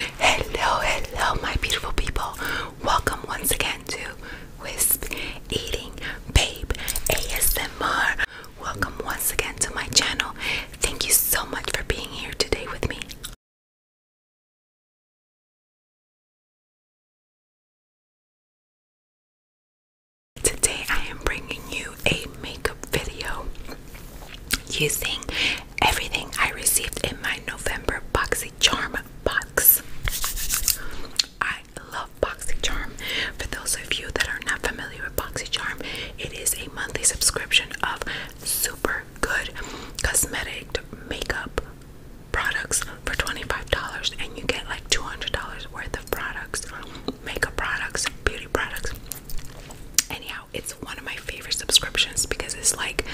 Hello, hello, my beautiful people. Welcome once again to Wisp Eating Babe ASMR. Welcome once again to my channel. Thank you so much for being here today with me. Today, I am bringing you a makeup video using everything I received in my November Boxy Charm box. I love BoxyCharm. For those of you that are not familiar with BoxyCharm, it is a monthly subscription of super good cosmetic makeup products for $25 and you get like $200 worth of products, makeup products, beauty products. And it's one of my favorite subscriptions because it's like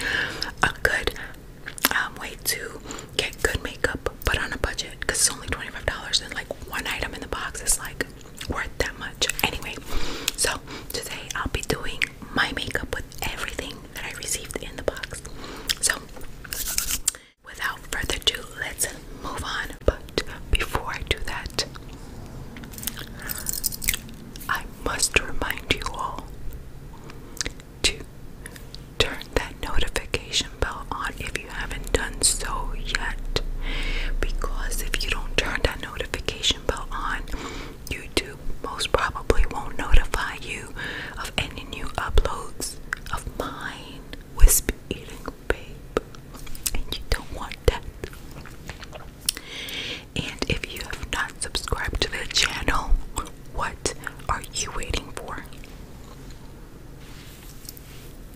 a good um, way to get good makeup but on a budget because it's only $25 and like one item in the box is like worth that much. Anyway, so today I'll be doing my makeup with everything that I received in the box. So without further ado, let's move on. But before I do that, I I must remind you all to turn that notification bell on if you haven't done so yet. Because if you don't turn that notification bell on, YouTube most probably won't notify you of any new uploads of mine, Wisp Babe. And you don't want that. And if you have not subscribed to the channel, what are you waiting for?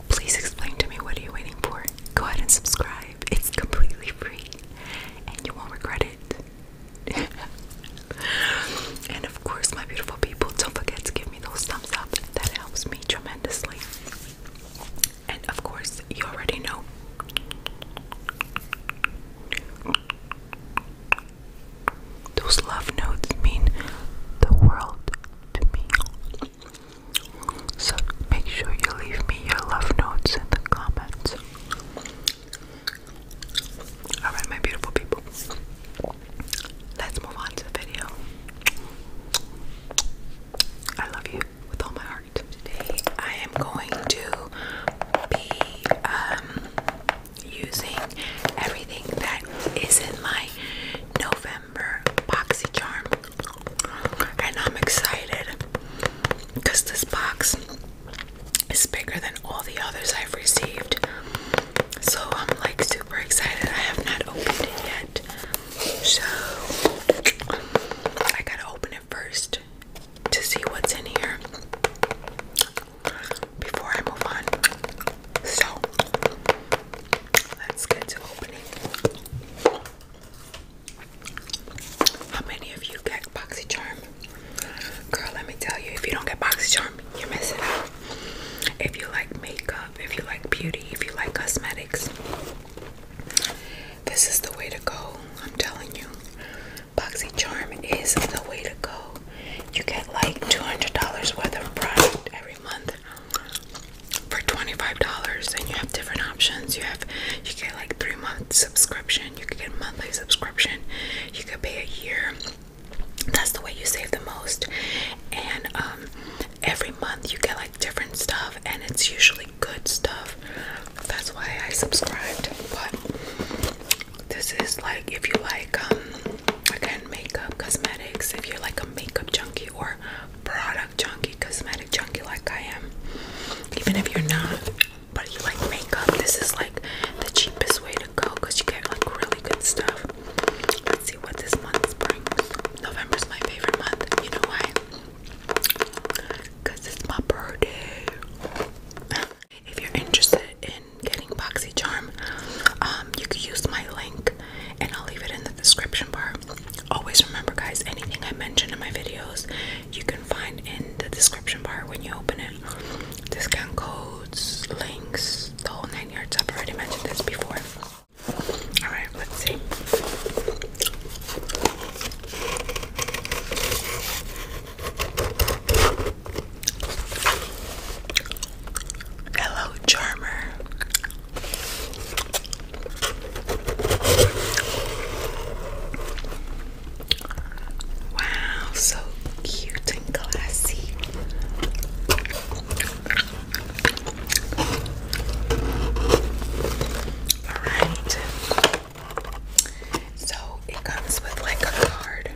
Please explain to me what are you waiting for? Go ahead and subscribe. It's completely free and you won't regret it. and of course, my beautiful people, don't forget to give me those thumbs up. That helps me tremendously. And of course, you already know. Those love notes mean the world to me. So make sure you leave me your love notes in the comments. Alright, my beautiful people. Let's move on to the video. I love you with all my heart today. I am going to be um, using everything that is in my November boxy charm, and I'm excited because this box is bigger than all the others I've received. So I'm like super excited. I have not opened it yet, so I gotta open it first to see what's in here before I move on. So let's to opening. How many of you get BoxyCharm? Girl, let me tell you, if you don't get BoxyCharm, you're missing out. If you like makeup, if you like beauty, if you like cosmetics, this is the way to go. I'm telling you. Boxy Charm is the way to go. You get like $200 worth of product every month for $25 and you have different options. You have you get like 3 month subscription, you could get monthly subscription, you could pay a year. That's the way you save the most. And um, every month you get like different stuff and it's usually good stuff that's why I subscribed. But this is like if you like um, again makeup, cosmetics, if you're like a makeup junkie or product junkie, cosmetic junkie like I am. Even if you're not, but you like makeup, this is like the cheapest way to go because you get like really good stuff. Let's see what this month brings. November's my favorite month. You know why? Because it's my birthday. If you're interested in getting BoxyCharm, um, you can use my link and I'll leave it in the description bar. Always remember, guys, anything I mention in my videos, you can find in the description bar when you open it. Discount codes, links, the whole nine yards. I've already mentioned this before. Alright, let's see. Hello, Charmer. Wow, so cute and classy. All right. So it comes with like a card.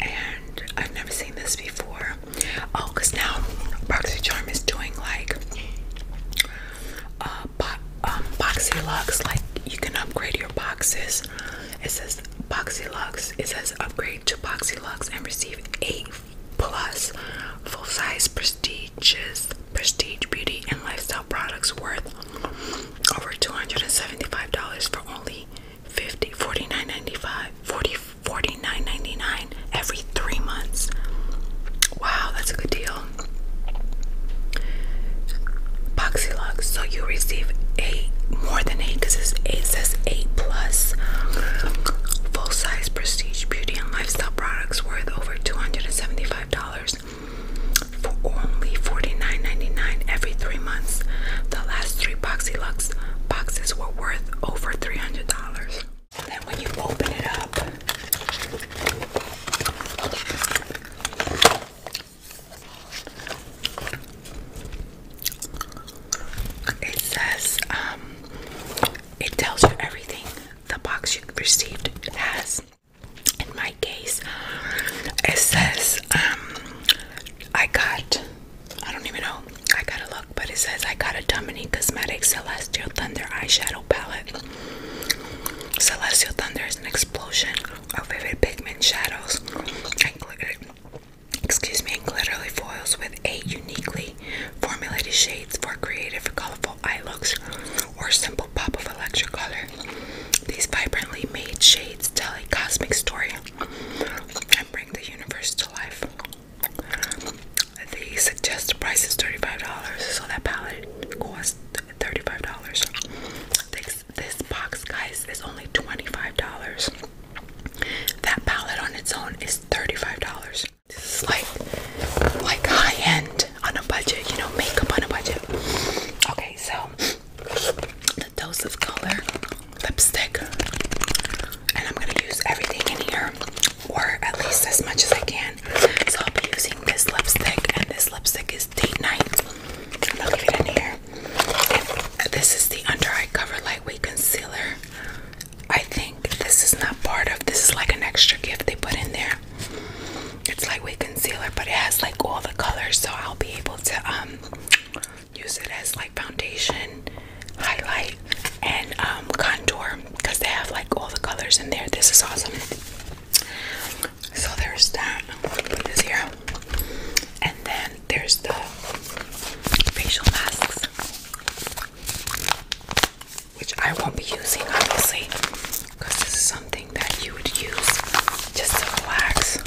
And I've never seen this before. Oh, because now Boxy Charm is doing like uh, um, Boxy Lux. Like you can upgrade your boxes. It says Boxy Lux. It says upgrade to Boxy Lux and receive eight plus full-size prestigious prestige beauty and lifestyle products worth over $275 for only 50 $49.95 every three months wow that's a good deal Boxylux, so you receive eight more than eight because eight says eight plus full size prestige beauty and lifestyle products worth over $275 for only $49.99 every three months. The last three Boxy Lux boxes were worth over $300. And when you open it up, it says um, it tells you everything the box you received has. In my case, it says, um, I got, I don't even know, I gotta look, but it says I got a Dominique Cosmetics Celestial Thunder eyeshadow palette. Celestial Thunder is an explosion of vivid pigment shadows excuse me, and glittery foils with eight uniquely formulated shades for creative, colorful eye looks or simple pop of electric color. These vibrantly made shades tell a cosmic story and bring the universe to life. The suggested price is $35, so that palette costs $35. This, this box, guys, is only $25. That palette on its own is $35. This is like like high end on a budget, you know, makeup on a budget. Okay, so the dose of color lipstick, and I'm gonna use everything in here, or at least as much as I can. So I'll be using this lipstick, and this lipstick is date night. And I'll leave it in here. this is the under eye cover lightweight concealer. I think this is not part of this is like an extra gift they put in there. It's lightweight concealer, but it has like all the colors, so I'll be able to um use it as like foundation, highlight, and um contour because they have like all the colors in there. This is awesome. So there's that. put this here. And then there's the facial masks which I won't be using obviously because this is something that you would use just to relax.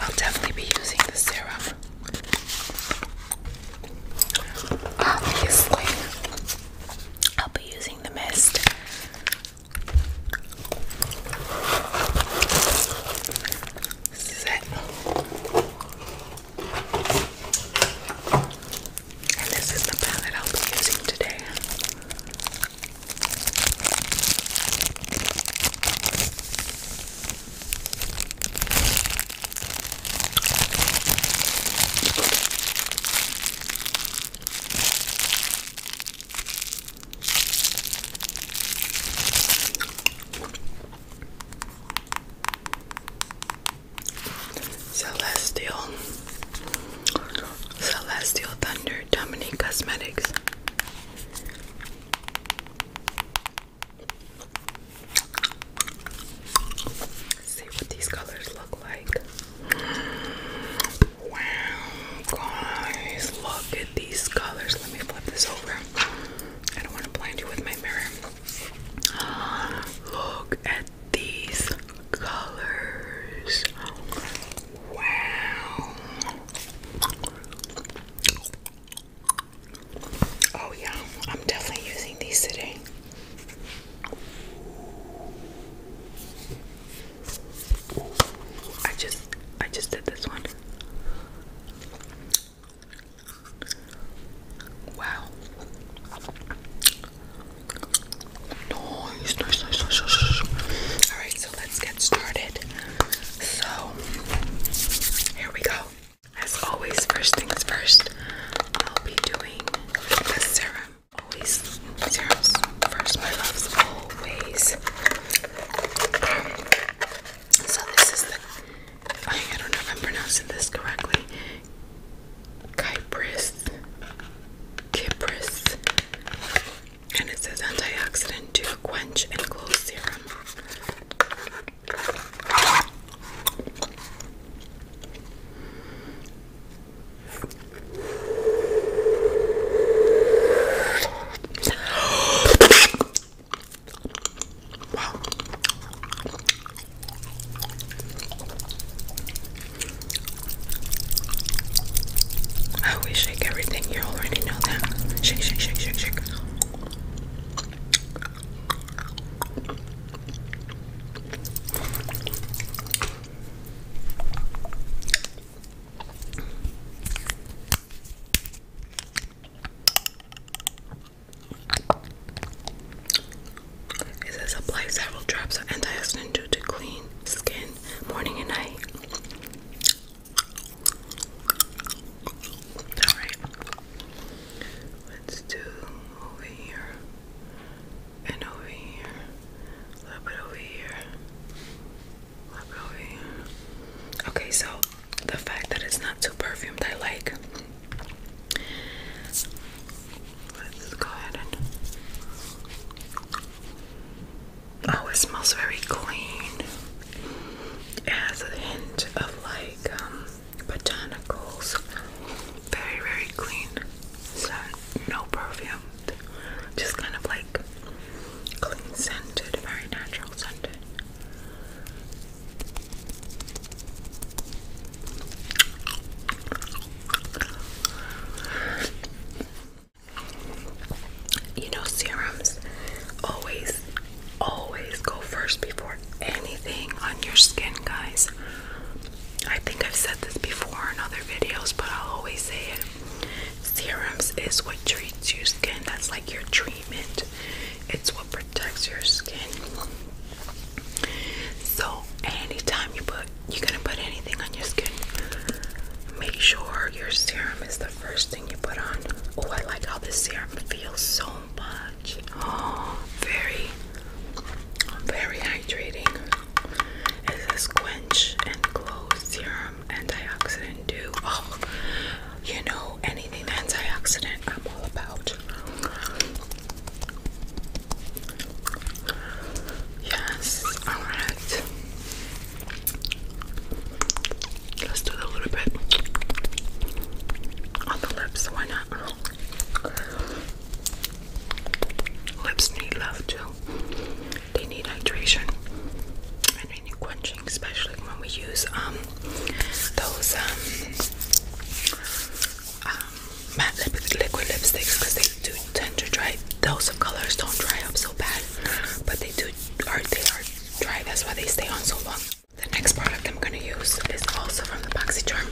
I'll definitely be using the serum. Obviously, I'll be using the mist. And this is the palette I'll be using today. Celestial Celestial Thunder Dominique Cosmetics let see what these colors look like. Wow, guys, look at these colors. Let me flip this over. I don't want to blind you with my mirror. Look at these colors. Wow. Oh, yeah, I'm definitely using these today. I just I just did this one. Wow. Nice, nice, nice, nice, nice. Alright, so let's get started. So, here we go. As always, first things first, I'll be doing the serum always serums first, my love, always. Um, so this is the, I, don't know if I'm pronouncing this correctly, Kypris, Kypris, and it says antioxidant to quench and close serum. Wow. I always shake everything. You already know that. Shake, shake, shake, shake, shake. It says apply several drops of antioxidant due to clean skin morning and night. Alright. Let's do over here and over here, a little bit over here, a little bit over here. Okay, so the fact that it's not too perfumed, I like. Let's go ahead and. Oh, it smells very clean. It has a hint of like um, botanicals. Very, very clean. So no perfume, just kind of like clean scented, very natural scented. You know, serums always, always go first before anything on your skin, guys. I think I've said this before in other videos, but I'll always say it. Serums is what treats your skin. That's like your treatment. It's what protects your skin. So anytime you put you're gonna put anything on your skin, make sure your serum is the first thing you put on. Oh, I like how this serum feels so much. Oh, very very hydrating. It's a quench and glow serum antioxidant Do Oh, you know anything antioxidant I'm all about. Yes, alright. Let's do a little bit on the lips, why not? Lips need love too. They need hydration and they need quenching, especially when we use um those um, um matte liquid lipsticks because they do tend to dry. Those of colors don't dry up so bad, but they do are they are dry. That's why they stay on so long. The next product I'm gonna use is also from the BoxyCharm,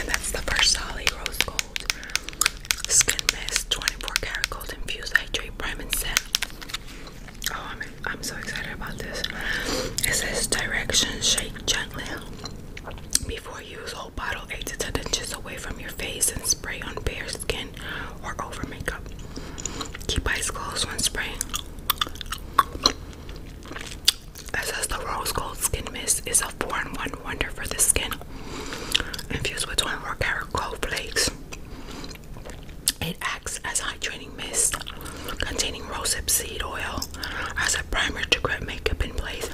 and that's the Versailles Rose Gold. Skin Mist 24 Karat Gold Infused Hydrate Prime Set. Oh, I'm, I'm so excited about this. It says direction shake gently before use. Whole bottle 8 to 10 inches away from your face and spray on bare skin or over makeup. Keep eyes closed when spraying. It says the rose gold skin mist is a four-in-one wonder for the skin, infused with 24 karat gold flakes. It acts as a hydrating mist, containing rosehip seed oil, as a primer to grip makeup in place,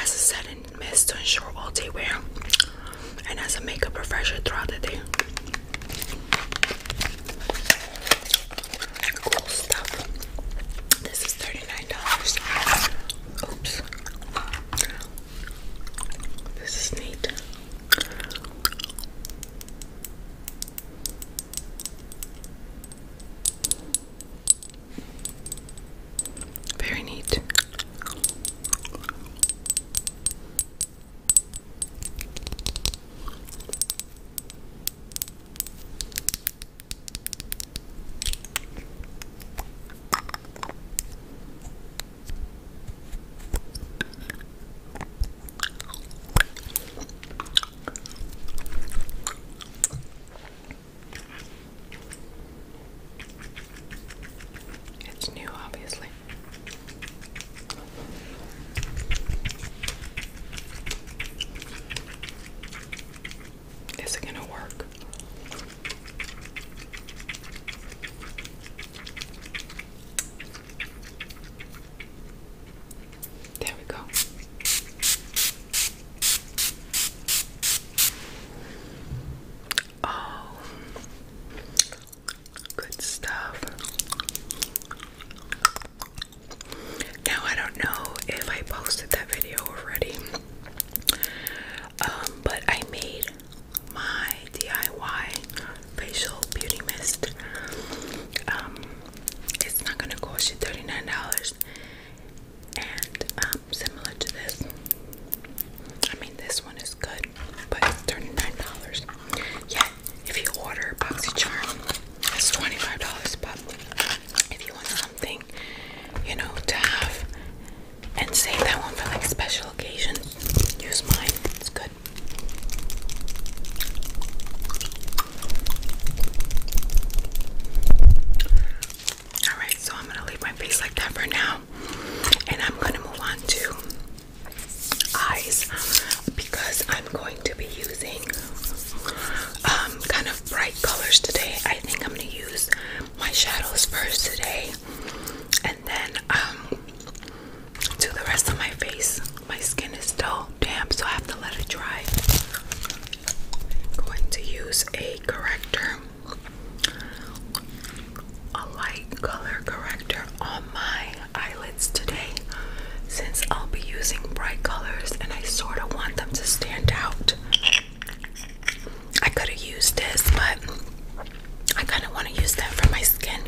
as a setting mist to ensure all day wear, and as a makeup refresher throughout the day. Cool stuff. This is $39. Oops. This is neat. Very neat. It's new, obviously. Is it gonna work? There we go. Oh, good stuff. Now, I don't know if I posted that video already. Um, but I made my DIY facial beauty mist. Um, it's not gonna cost you $39 and um, similar to this. I mean, this one is good, but $39. Yeah, if you order BoxyCharm, it's $25, but if you want something you know, to have and save that one for like special occasions. Use mine, it's good. Alright, so I'm gonna leave my face like that for now, and I'm gonna move on to eyes because I'm going to be using um, kind of bright colors today. I think I'm gonna use my shadows first today and then um do the rest of my face. My skin is still damp, so I have to let it dry. I'm going to use a corrector, a light color corrector on my eyelids today since I'll be using bright colors and I sort of want them to stand out. I could have used this, but I kind of want to use that for my skin.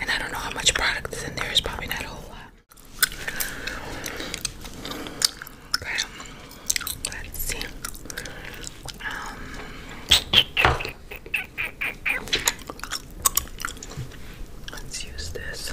And I don't know how much product is in there, it's probably not a whole lot. let's see. Um, let's use this.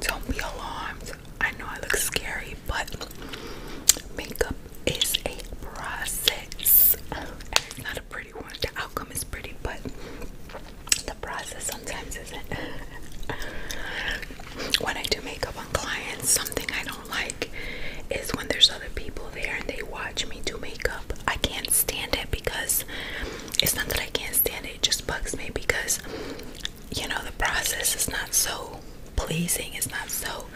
Don't be alarmed. I know I look scary, but makeup is a process. not a pretty one. The outcome is pretty, but the process sometimes isn't. when I do makeup on clients, something I don't like is when there's other people there and they watch me do makeup. I can't stand it because it's not that I can't stand it just bugs me because you know, the process is not so pleasing, it's not so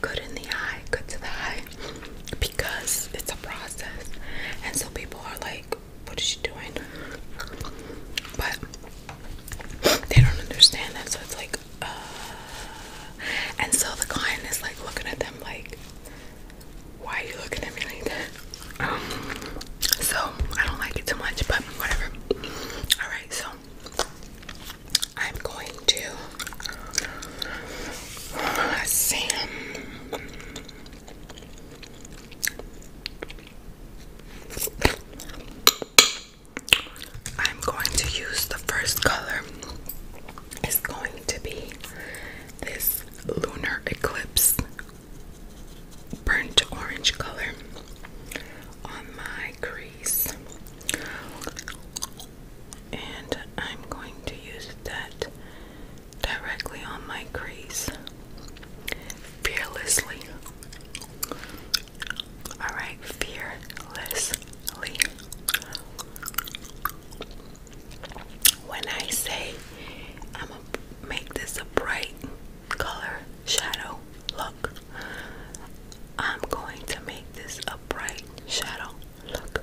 good in the eye, good to the eye, because it's a process. And so people are like, What is she doing? But they don't understand that, so it's like, uh, and so the client is like looking at them like, Why are you looking at me like that? Um, so I don't like it too much, but whatever. All right, so I'm going to uh, Sam. I'm going to use the first color. It's going to be this lunar eclipse burnt orange color on my crease. And I'm going to use that directly on my crease fearlessly. Alright, fearlessly. When I say I'm gonna make this bright color shadow look. I'm going to make this a bright shadow look.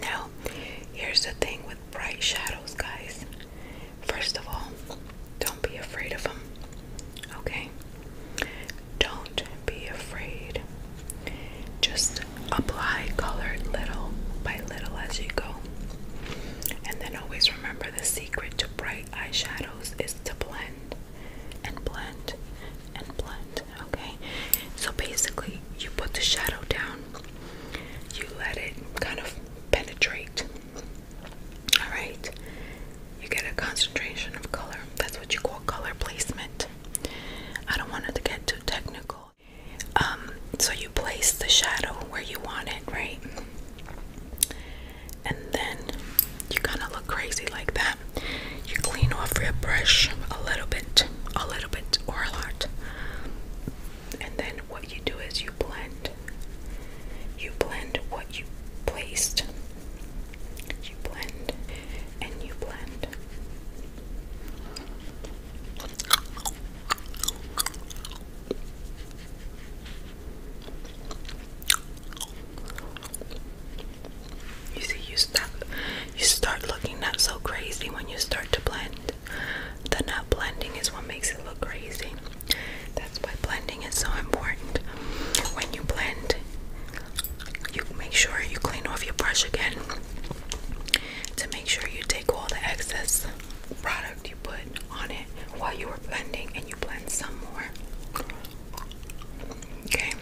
Now, here's the thing with bright shadows, guys. First of all, don't be afraid of them. Okay? Don't be afraid. Just apply color little by little as you go. And then always remember the secret to bright eyeshadows is to blend and blend and blend. Okay? So basically, you put the shadow down you let it kind of penetrate. All right, you get a concentration of color. That's what you call color placement. I don't want it to get too technical. Um, so you place the shadow where you want it, right? And then you kind of look crazy like that. You clean off your brush a little bit, a little bit, or a lot and then what you do is you blend. You blend what you placed. You blend and you blend. You see, you start, you start looking not so crazy when you start to blend. The not blending is what makes it look crazy. That's why blending is so important. When you blend, you make sure you clean off your brush again to make sure you take all the excess product you put on it while you were blending and you blend some more. Okay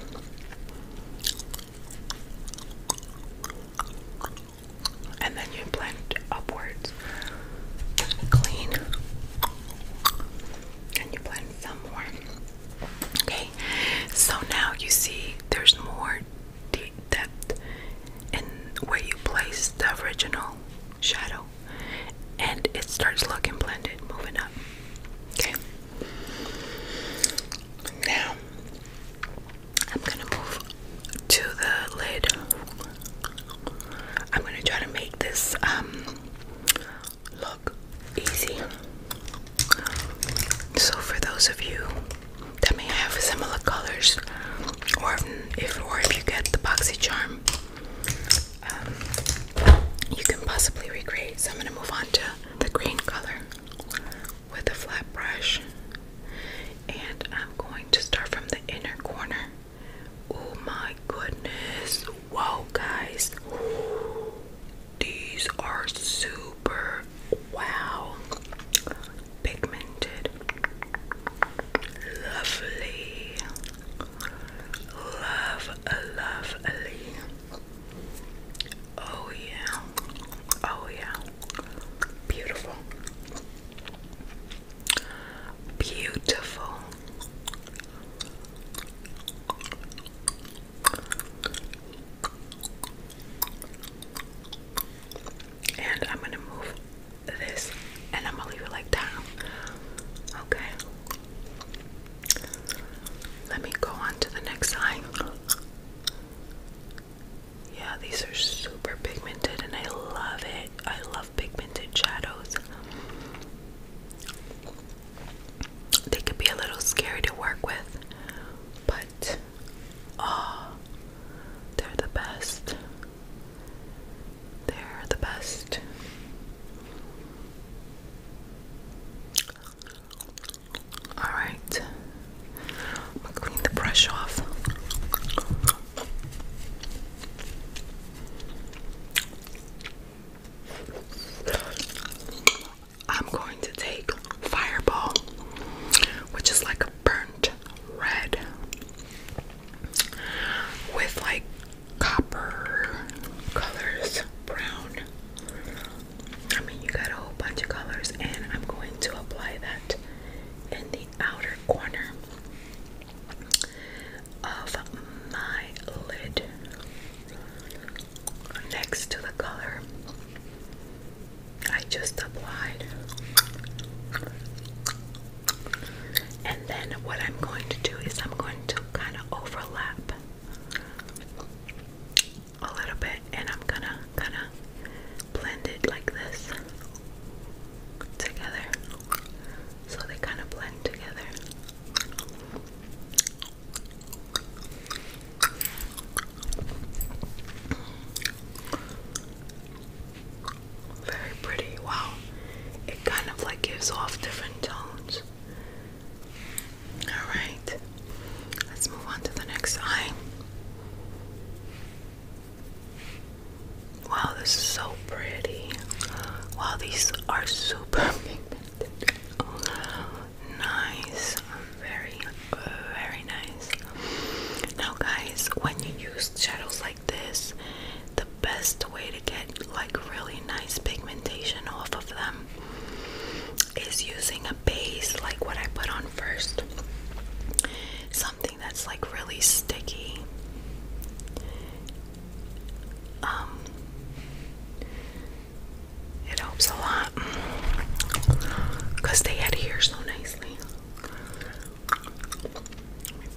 and then you blend upwards. Clean. And you blend some more. Okay, so now you see there's more depth in where you place the original shadow, and it starts looking blended, moving up. Okay, now I'm gonna move to the lid. I'm gonna try to make this um, look easy. So for those of you that may have similar colors, or if or if you get the boxy charm, um, you can possibly recreate. So I'm gonna move on to the green color with a flat brush. And I'm going to start from the inner corner. Oh my goodness. Whoa, guys. these are super wow pigmented. Lovely. Love, lovely. Oh, yeah. Oh, yeah. Beautiful. Beautiful. And I'm going to move this and I'm going to leave it like that. Okay. Let me go on to the next line. Yeah, these are super pigmented and I love it. I love pigmented shadows. They could be a little scary to work with, but oh, they're the best. They're the best. All right. I'm gonna brush off. I'm going to take Fireball, which is like a burnt red with like copper colors, brown. I mean, you got a whole bunch of colors, and I'm going to apply that in the outer corner of my lid next to the color I just applied. And then what I'm going to do is I'm going to kind of overlap a little bit and I'm gonna kind of blend it like this together. So they kind of blend together. Very pretty, wow. It kind of like gives off different tones. Alright, let's move on to the next eye. Wow, this is so pretty. Wow, these are super pigmented. Nice, very, very nice. Now, guys, when you use shadows like this, the best way to get like really nice pigmentation off of them is using a base like what I put on first. Something that's like really sticky. Um, it helps a lot because they adhere so nicely.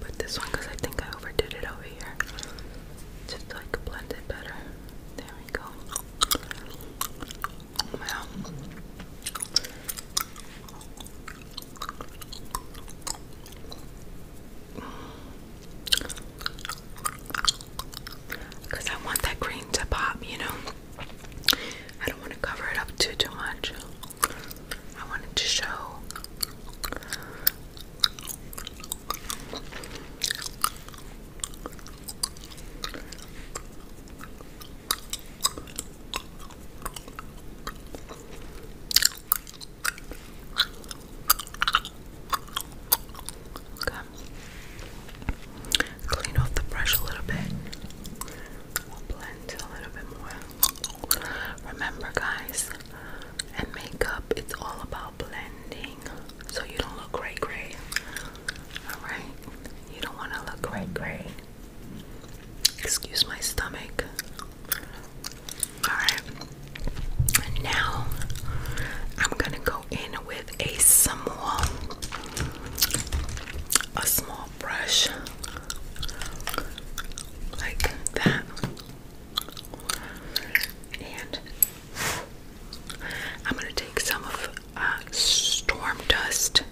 put this one because I think I overdid it over here. Just like blend it better. There we go. Because I want that green to pop, you know? I don't want to cover it up too, too much. I wanted to show. Okay. Clean off the brush a little bit. blend a little bit more. Remember, guys, and makeup, it's all about blending. So you don't look gray gray. Alright? You don't want to look gray gray. Excuse my stomach. Alright. Now I'm gonna go in with a small a small brush like that. And I'm gonna take some of uh, storm dust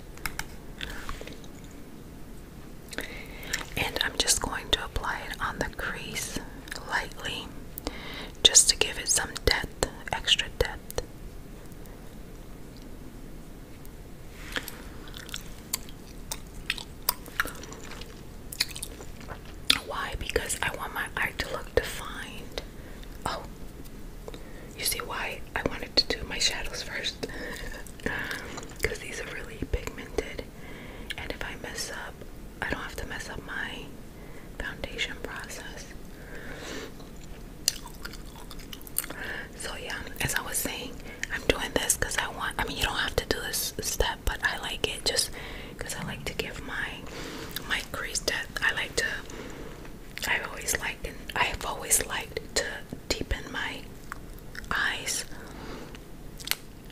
and I'm just going to apply it on the crease lightly just to give it some depth, extra depth. Why? Because I want my eye to look defined. Oh, you see why I wanted to do my shadows first because these are really pigmented. And if I mess up, I don't have to mess up my foundation process. So, yeah, as I was saying, I'm doing this because I want, I mean, you don't have to do this step, but I like it just because I like to give my my crease depth. I like to, I've always liked, and I've always liked to deepen my eyes.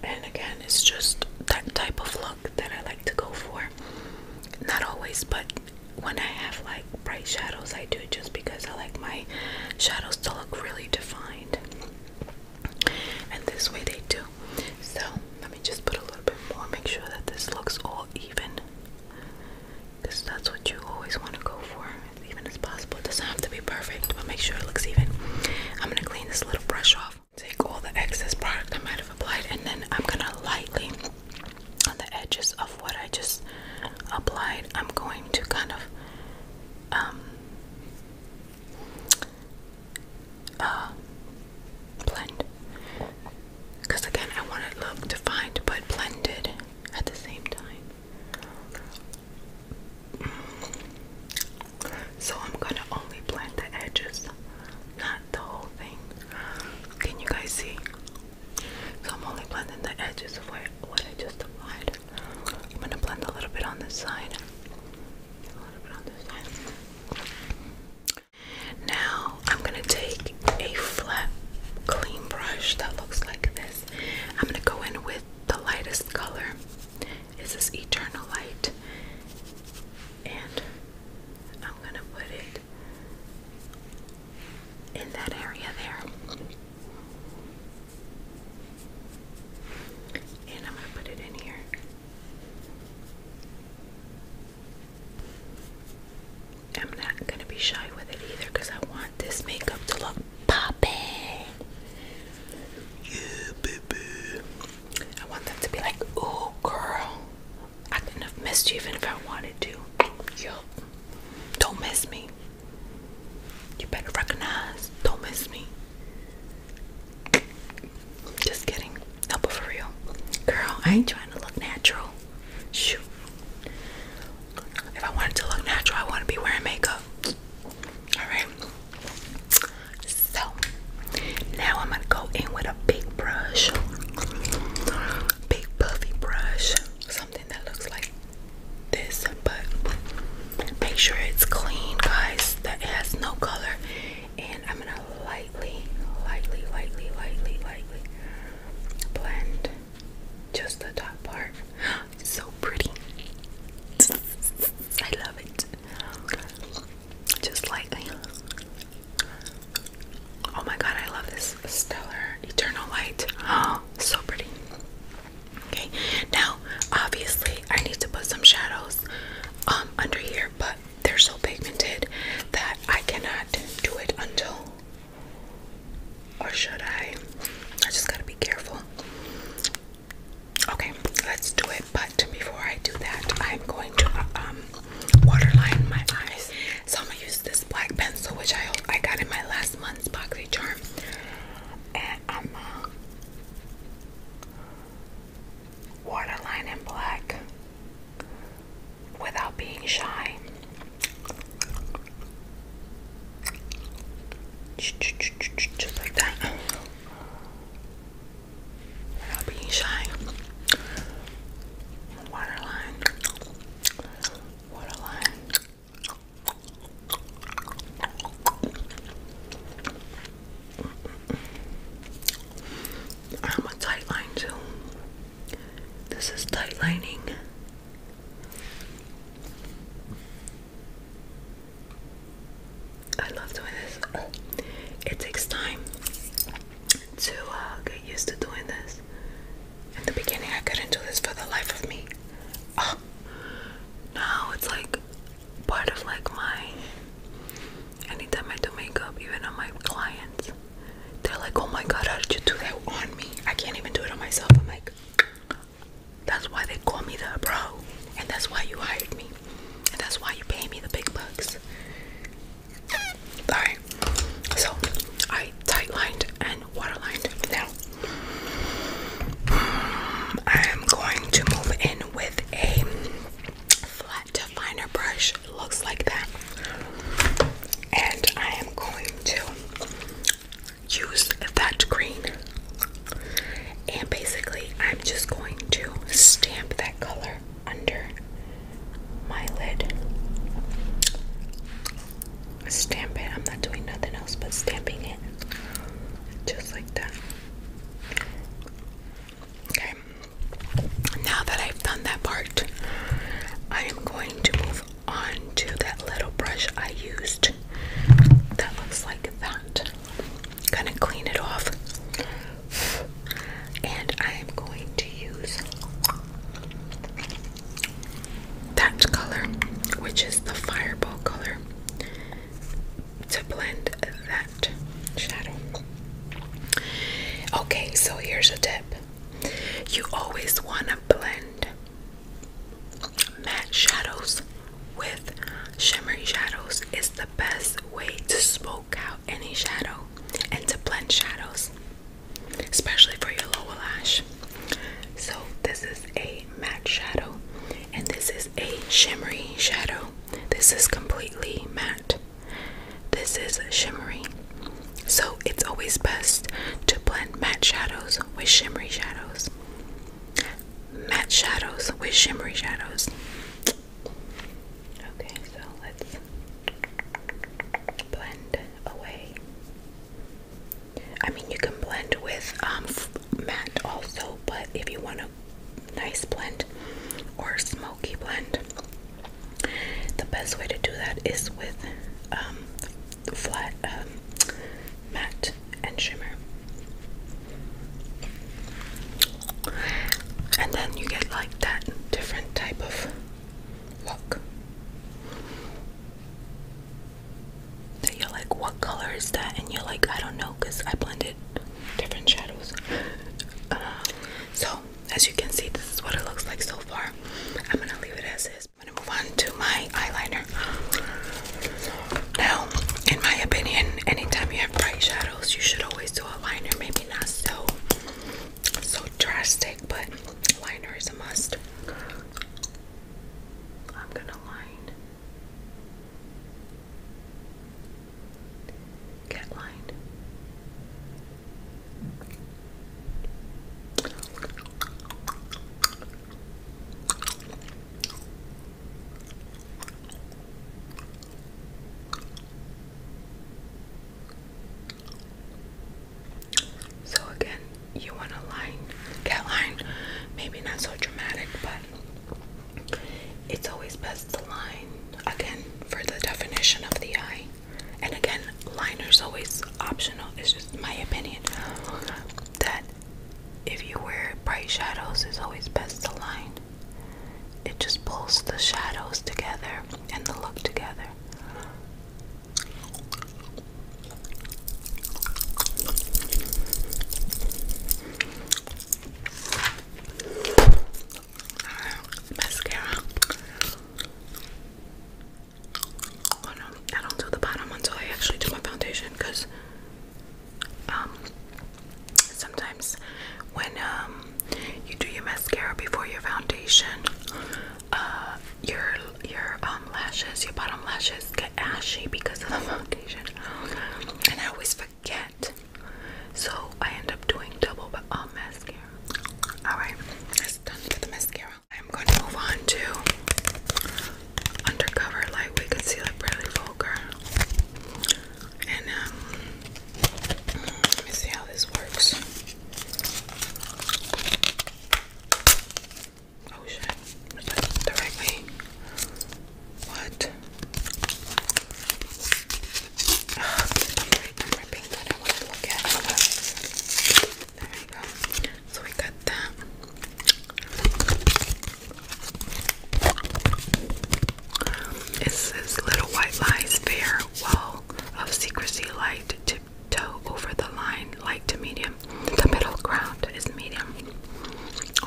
And again, it's just that type of look that I like to go for. Not always, but when I have like bright shadows, I do it just because I like my shadows to look really defined. And this way they do. So let me just put a little bit more, make sure that this looks all even. Because that's what you always want to go for even as possible. It doesn't have to be perfect, but make sure it looks even. I'm gonna clean this little brush off, take all the excess product I might have applied, and then I'm gonna lightly on the edges of what I just applied, I'm going to kind of um, uh, blend because again I want it look defined but blended at the same time so I'm gonna only blend the edges, not the whole thing. Can you guys see? So I'm only planting the edges of where, what I just applied. I'm gonna blend A little bit on this side. Now I'm gonna take a flat clean brush that looks like this. I'm gonna go in with the lightest color is this eternal light and I'm gonna put it in that area there and I'm gonna put it in here I'm not gonna be shy with it either because I want this makeup to look poppin'. Yeah, baby. I want them to be like, oh, girl. I couldn't have missed you even if I wanted to. Yo, don't miss me. You better recognize. Don't miss me. Just kidding. No, but for real. Girl, I ain't trying to look natural. Shoot. If I wanted to look natural, I want to be wearing makeup. Alright. So now I'm gonna go in with a big brush. Big puffy brush. Something that looks like this, but make sure it's clean, guys, that has no color. And I'm gonna lightly, lightly, lightly, lightly, lightly blend just the top part so pretty. I love it. Just lightly. Oh my god, I love this stellar eternal light. Oh, so pretty. Okay, now obviously I need to put some shadows um, under here, but they're so pigmented that I cannot do it until or should I? I just gotta be careful. Okay, let's do it. But before I do that, I'm going to um, waterline my eyes. So I'm gonna use this black pencil, which I I got in my last month's boxy charm, and I'm uh, waterline in black without being shy. Just like that. Without being shy. Waterline. Waterline. I'm a tight line too. This is tightlining. I love doing this. It takes time to uh, get used to doing this. In the beginning, I couldn't do this for the life of me. Oh, now it's like part of like my. Anytime I do makeup, even on my clients, they're like, "Oh my God, how did you do that on me? I can't even do it on myself." I'm like, that's why they call me the bro. And that's why you hired me. And that's why you pay me the big bucks. Alright. So I tight and water Now I am going to move in with a flat definer brush. Looks like that. And I am going to used that green. And basically, I'm just going to stamp that color under my lid. Stamp it. I'm not doing nothing else but stamping it. Just like that. Okay. Now that I've done that part, I am going to move on to that little brush I used that looks like that out, going clean it off, and I am going to use that color, which is the fireball color, to blend that shadow. Okay, so here's a tip you always want to blend Matte shadows with shimmery shadows is the best way to smoke out any shadow and to blend shadows, especially for your lower lash. So, this is a matte shadow, and this is a shimmery shadow. This is completely matte, this is shimmery. So, it's always best to blend matte shadows with shimmery shadows matte shadows with shimmery shadows. Okay, so let's blend away. I mean, you can blend with um, matte also, but if you want a nice blend or smoky blend, the best way to do that is with um, flat um, matte, and shimmer. And then you get like that different type of look. So you're like, what color is that? And you're like, I don't know, I blended different shadows. Uh, so, as you can see, this is what it looks like so far. I'm gonna leave it as is. I'm gonna move on to my eyeliner. Now, in my opinion, anytime you have bright shadows, you should always do a liner. Maybe not so so drastic, but liner is a must. I'm gonna line. Get lined. So again, you want to line, get line, maybe not so dramatic, but it's always best to line again for the definition of the eye. And again, liner is always optional. It's just my opinion that if you wear bright shadows, it's always best to line. It just pulls the shadows together and the look together. Mascara. Oh no, I don't do the bottom until I actually do my foundation because um, sometimes when um, you do your mascara before your foundation, uh, your your um, lashes, your bottom lashes get ashy because of the foundation, and I always forget. So I end up doing double um, mascara. All right, that's done for the mascara. I'm going to move on to undercover lightweight concealer, Bradley Volker. And um, let me see how this works. Oh shit! that directly? What? There we go. So we got that. It says little white lies fair wall of secrecy light tiptoe over the line light to medium. The middle ground is medium.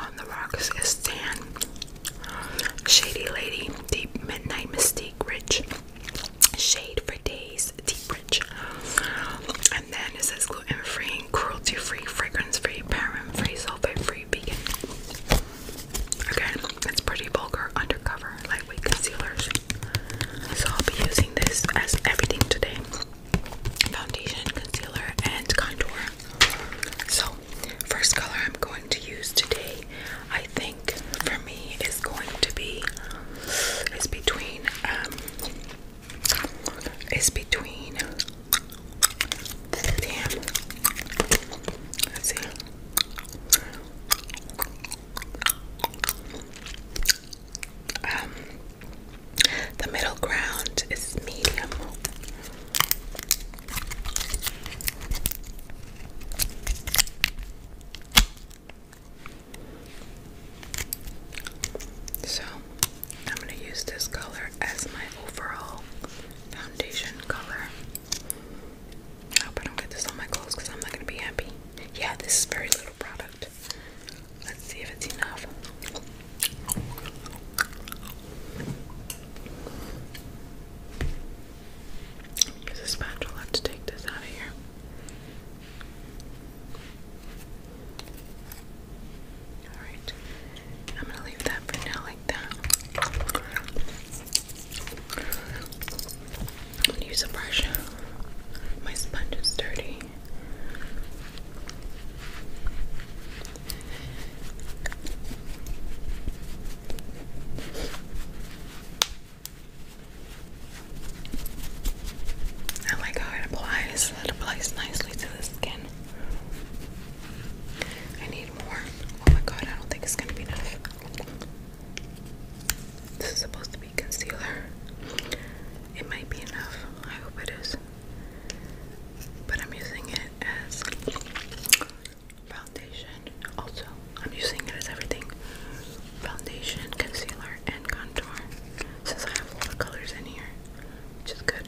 On the rocks is sand. Shady lady, deep midnight mystique, rich shade for days, deep rich. And then it says gluten free, cruelty free, fragrance free, paraben free, sulfate free, vegan. Again, it's pretty vulgar undercover lightweight concealers. So I'll be using this as everything today foundation, concealer, and contour. So, first color I'm going to use today, I think for me, is going to be. is between um, is between damn let's see um the middle ground is medium so I'm going to use this color as my overall foundation color. I hope I don't get this on my clothes because I'm not going to be happy. Yeah, this is very little product. Let's see if it's enough. Use a spatula to take this out of here. Alright, I'm gonna leave that for now like that. use a brush. My sponge is dirty. I like how it applies. It applies nicely to the skin. I need more. Oh my god, I don't think it's gonna be enough. This is supposed to be concealer. It might be enough. I hope it is. But I'm using it as foundation. Also, I'm using it as everything foundation, concealer, and contour. Since I have a lot of colors in here, which is good.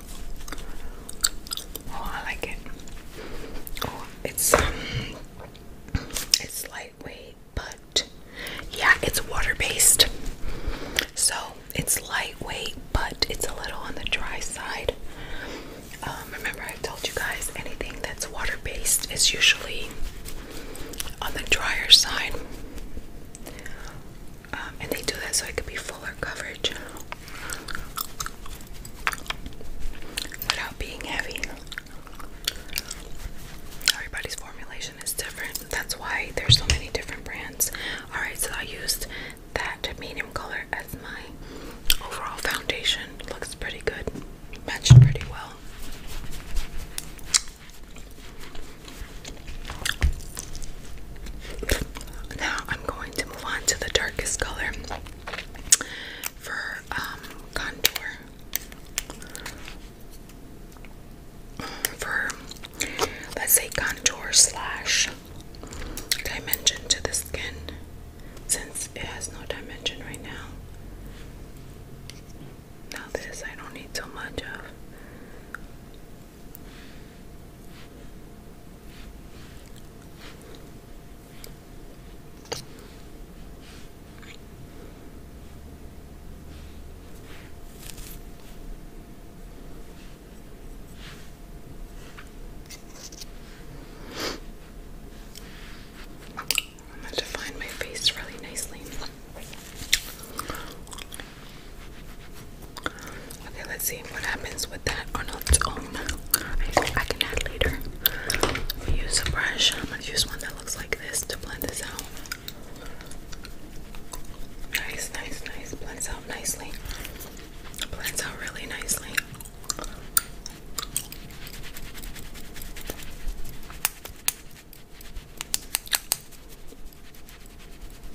Oh, I like it. Oh, it's um, it's lightweight, but yeah, it's water-based. So it's lightweight, but it's a little on the dry side. Um, remember, i told you guys anything that's water-based is usually on the drier side. Um, and they do that so it can be fuller coverage without being heavy. Everybody's formulation is different. That's why there's so many different brands. Alright, so I used that medium color as my overall foundation. Looks pretty good. Matched pretty well. Now I'm going to move on to the darkest color for um, contour. For let's say contour slash dimension to the skin, since it has no dimension right now. Now, this I don't need so much of. I'm going to define my face really nicely. Okay, let's see what happens with that on its own. I, I can add later. We use a brush. I'm gonna use one that looks like this to blend this out. Nice, nice, nice. Blends out nicely. Blends out really nicely.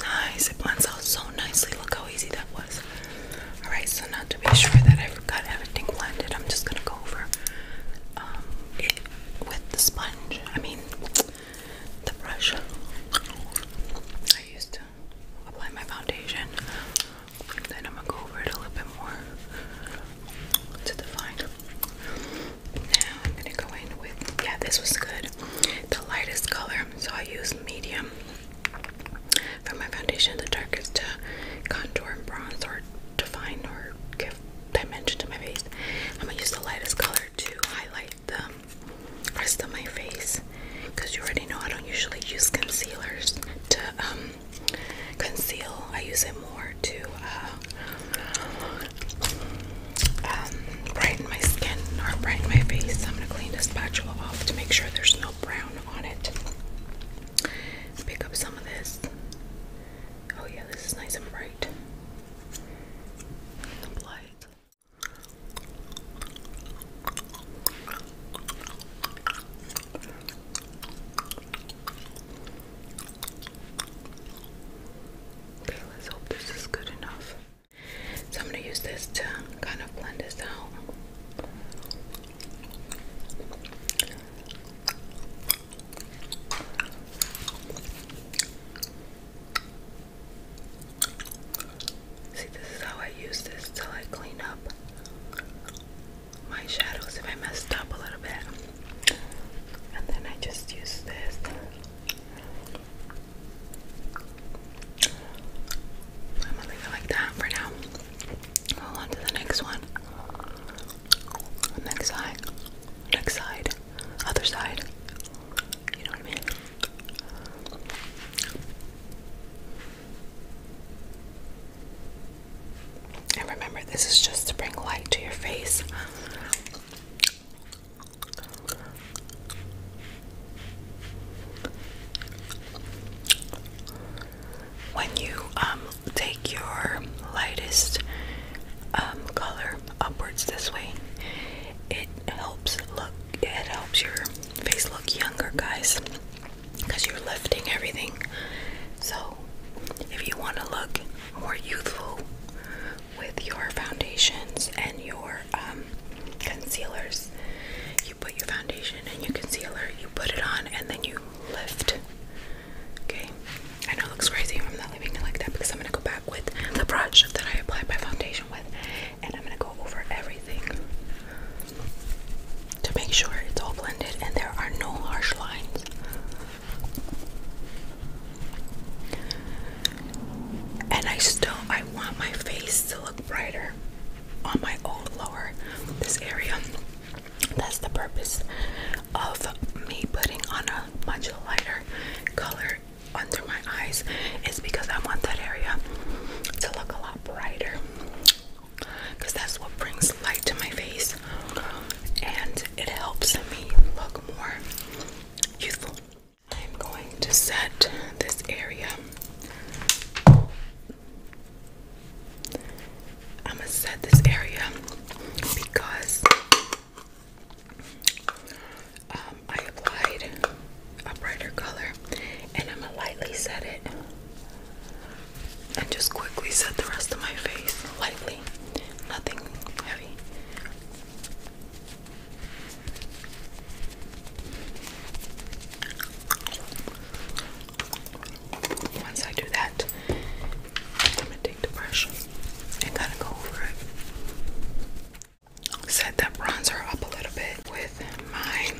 Nice, it blends out so nicely. Look how easy that was. Alright, so now to be sure that I've got everything blended, I'm just gonna go over um, it with the sponge. I mean, the brush. I used to apply my foundation. Then I'm gonna go over it a little bit more to define. Now I'm gonna go in with yeah, this was good. The lightest color, so I use medium for my foundation. The darkest to contour and bronze or define or give dimension to my face. I'm gonna use the lightest color to highlight the rest of my face because you already know I don't usually use concealers to um, conceal. I use it more to uh, um, brighten my skin or brighten my face. I'm gonna clean this spatula off to make sure there's no brown on it. Pick up some of this. Oh yeah, this is nice and bright. Apply it. Okay, let's hope this is good enough. So I'm going to use this to kind of blend this out. See, this is how I use this till I clean up my shadows if I messed up a little bit and then I just use this I'm gonna leave like that for now go on to the next one next side next side other side you know what I mean and remember, this is just to bring light to your face. When you um, take your lightest um, color upwards this way, it helps look. It helps your face look younger, guys, because you're lifting everything. So, if you want to look more youthful with your foundations and your um, concealers. You put your foundation and your concealer, you put it on, and then you lift. Okay, I know it looks crazy. I'm not leaving it like that because I'm gonna go back with the brush that I applied my foundation with, and I'm gonna go over everything to make sure it's all blended and there are no harsh lines. And I still I want my face to look brighter on my old lower this area. That's the purpose of me putting on a much lighter color under my eyes is because I want that area to look a lot brighter because that's what brings light to my face and it helps me look more youthful. I'm going to set this area. I'm gonna set this area because um, I applied a brighter color and I'm gonna lightly set it and just quickly set the rest of my face lightly, nothing heavy. Once I do that, I'm gonna take the brush and kind of go over it. Set that bronzer up a little bit with my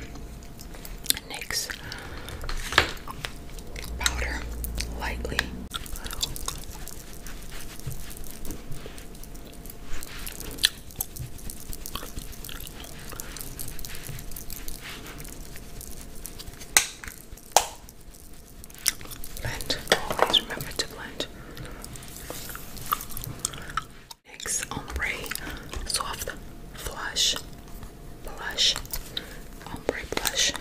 NYX powder lightly. Blend, always remember to blend. Next, ombre soft flush, blush, ombre blush.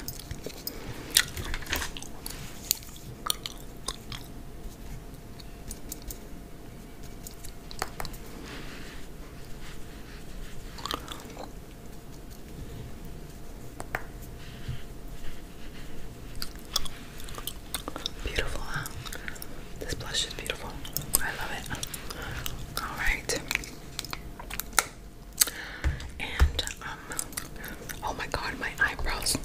Beautiful, This blush is beautiful. I love it. All right. And um oh my god, my eyebrows.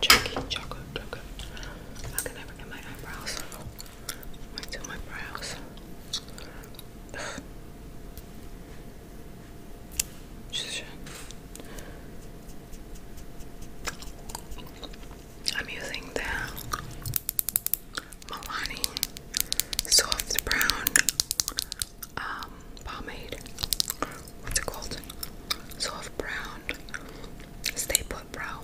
Chucky, chocolate, chocolate. I can never get my eyebrows. Wait till my brows. Ugh. I'm using the Milani Soft Brown um, pomade. What's it called? Soft brown. Stay put brow.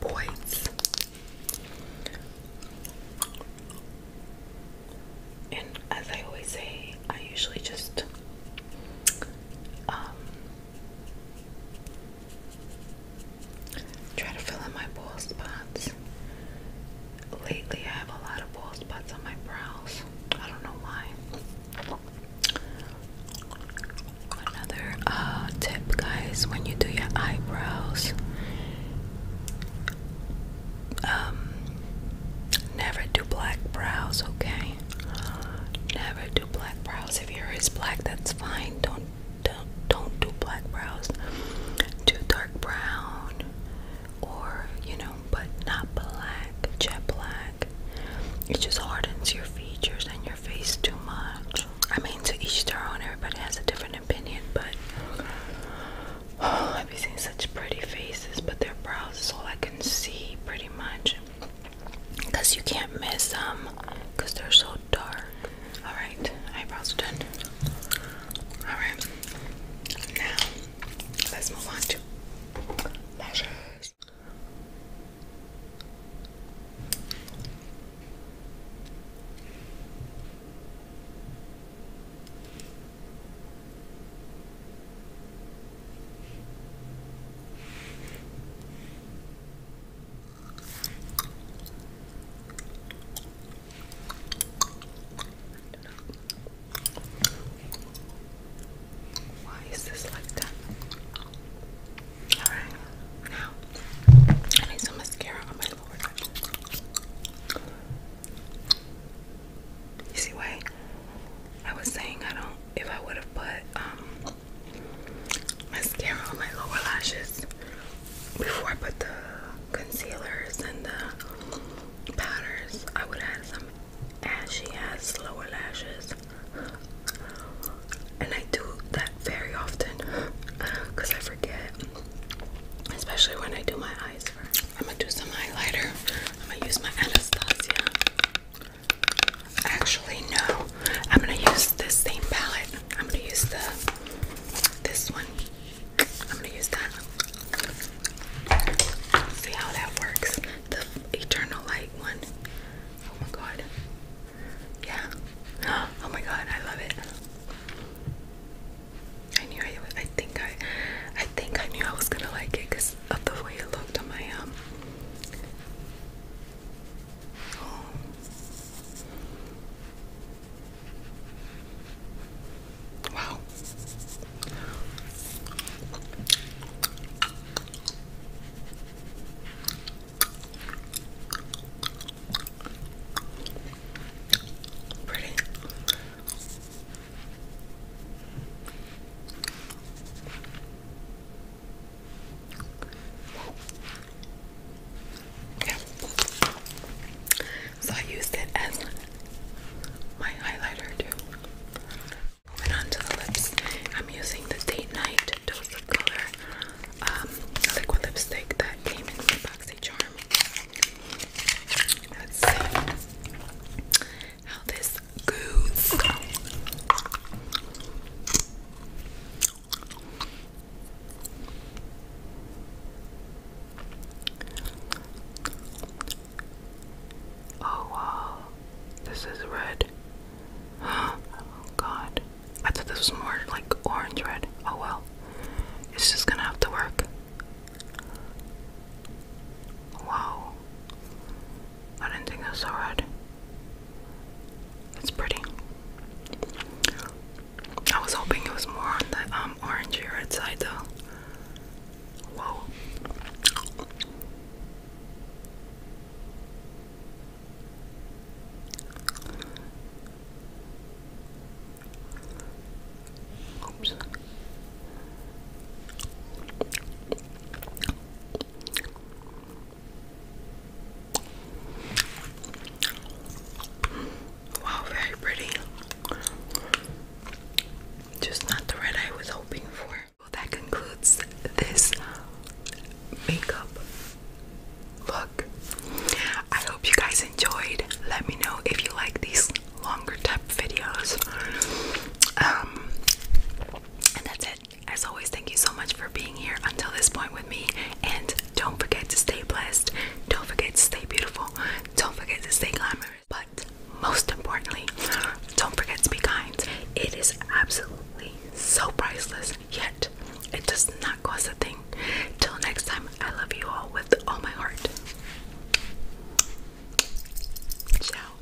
Boys. And as I always say, I usually just um, try to fill in my bald spots lately I have a lot of bald spots on my brows. I don't know why. Another uh, tip, guys, when you do your eyebrows, um, never do black brows, okay? Never do black brows. If your black, that's fine. Don't don't don't do black brows. Do dark brown or you know, but not black, jet black. It just hardens your features and your face too much. I mean, to each their own, everybody has a different opinion, but I've been seeing such pretty faces, but their brows is all I can see pretty much because you can't miss them because they're so dark. All right, eyebrows are done. Alright. Now let's move on to lashes. Why is this like that? Alright, now I need some mascara on my lord. You see why I was saying I don't if I would have put um mascara on my lower lashes before I put the concealers and the powders. I would add some she has lower lashes. And I do that very often because I forget. Especially when I do my eyes first. I'm gonna do some highlighter. I'm gonna use my Anastasia. Actually no. I'm gonna use this same palette. I'm gonna use the this one. I'm gonna use that. See how that works. The eternal light one. Oh my god. Yeah. Oh my god, I love it. I knew I I think I I think I knew I was gonna like it because of the way it looked on my um Oh. Wow. Pretty. Yeah. So I used it as my highlighter too. Moving the lips, I'm using the Date Night Dose Color um, liquid lipstick that came in my boxy charm. Let's see how this goes. Oh wow, this is red. oh god, I thought this was more like orange red. Oh well, it's just gonna have to work. Wow, I didn't think that's so red. It's pretty. I was hoping it was more on the um, orangey red side though. Wow. Oops. Wow, very pretty. Just not the red I was hoping for. Well, that concludes this makeup look. I hope you guys enjoyed. Let me know if you like these longer type videos. Um, and that's it. As always, thank you so much for being here until this point with me. And don't forget to stay blessed. Don't forget to stay beautiful. Don't forget to stay glamorous. But most importantly, don't forget to be kind. It is absolutely so priceless, yet it does not cost a thing. Till next time, I love you all with all my heart. Ciao.